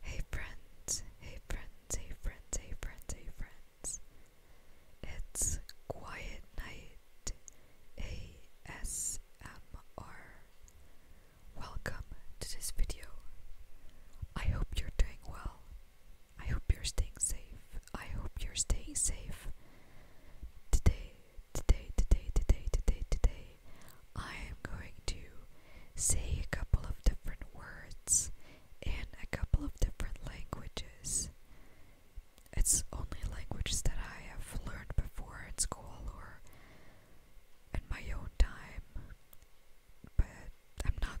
Hey friends, hey friends, hey friends, hey friends, hey friends. It's Quiet Night ASMR. Welcome to this video. I hope you're doing well. I hope you're staying safe. I hope you're staying safe. Today, today, today, today, today, today, I am going to say a couple of different words in a couple of different languages. It's only languages that I have learned before in school or in my own time, but I'm not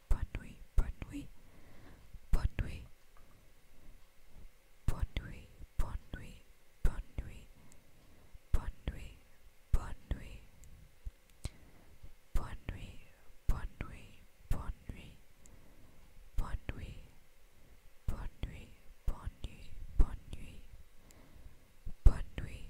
bonne nuit, bonne nuit, bonne nuit, bonne nuit, bonne nuit, bonne nuit, bonne nuit, bonne nuit, bonne nuit, bonne nuit, bonne nuit, bonne nuit, bonne nuit, bonne nuit, bonne nuit, bonne nuit.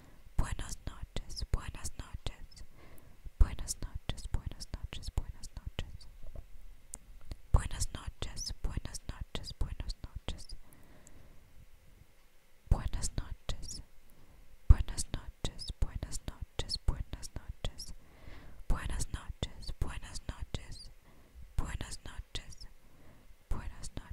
Buenas noches, buenas noches, buenas noches, buenas noches, buenas noches. Buenas noches, buenas noches, buenas noches. Buenas noches, buenas noches, buenas noches, buenas noches. Buenas noches, buenas noches, buenas noches, buenas noches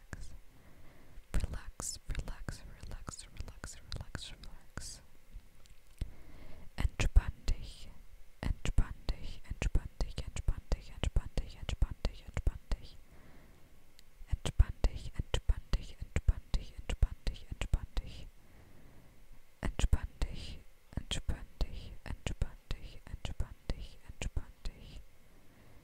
relax. Relax, relax, relax, relax, relax, entspann dich, entspann dich, entspann dich, entspann dich. Entspann dich, entspann dich, entspann dich, entspann dich, entspann dich. Entspann dich, entspann dich, entspann dich, entspann dich, entspann dich.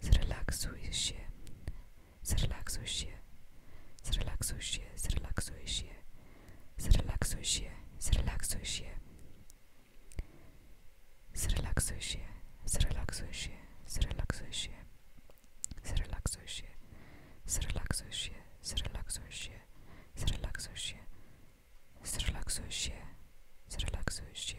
Zrelaksuj się. Zrelaksuj się. Zrelaksuj się. Zrelaksuj się. Zrelaksuj się. Zrelaksuj się. Zrelaksuj się. Zrelaksuj się. Zrelaksuj się. Zrelaksuj się. Zrelaksuj się. Zrelaksuj się. Zrelaksuj się. Zrelaksuj się. Zrelaksuj się.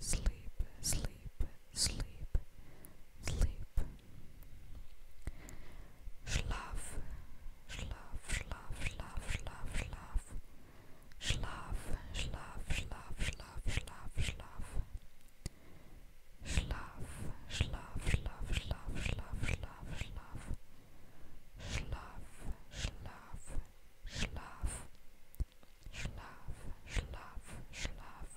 sleep, sleep, sleep, sleep. Schlaf, schlaf, schlaf, schlaf, schlaf, schlaf. Schlaf, schlaf, schlaf, schlaf, schlaf, schlaf. Schlaf, schlaf, schlaf, schlaf, schlaf, schlaf, schlaf. Schlaf, schlaf, schlaf. Schlaf, Schlaf, Schlaf.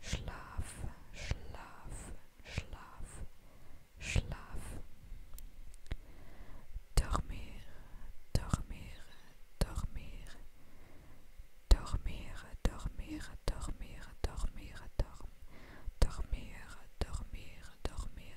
Schlaf, Schlaf, Schlaf. Schlaf. Dormir, dormir, dormir. Dormir, dormir, dormir, dormir, dorm. Dormir, dormir, dormir.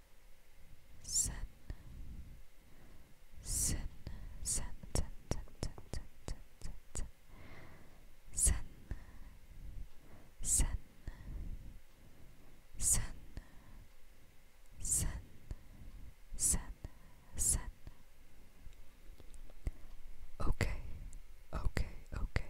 Sen. Sen. Sen. Sen. Sen. Sen. Sen. Sen. Sen. Sen. Sen. Sen. Sen. Sen. Okay. Okay. Okay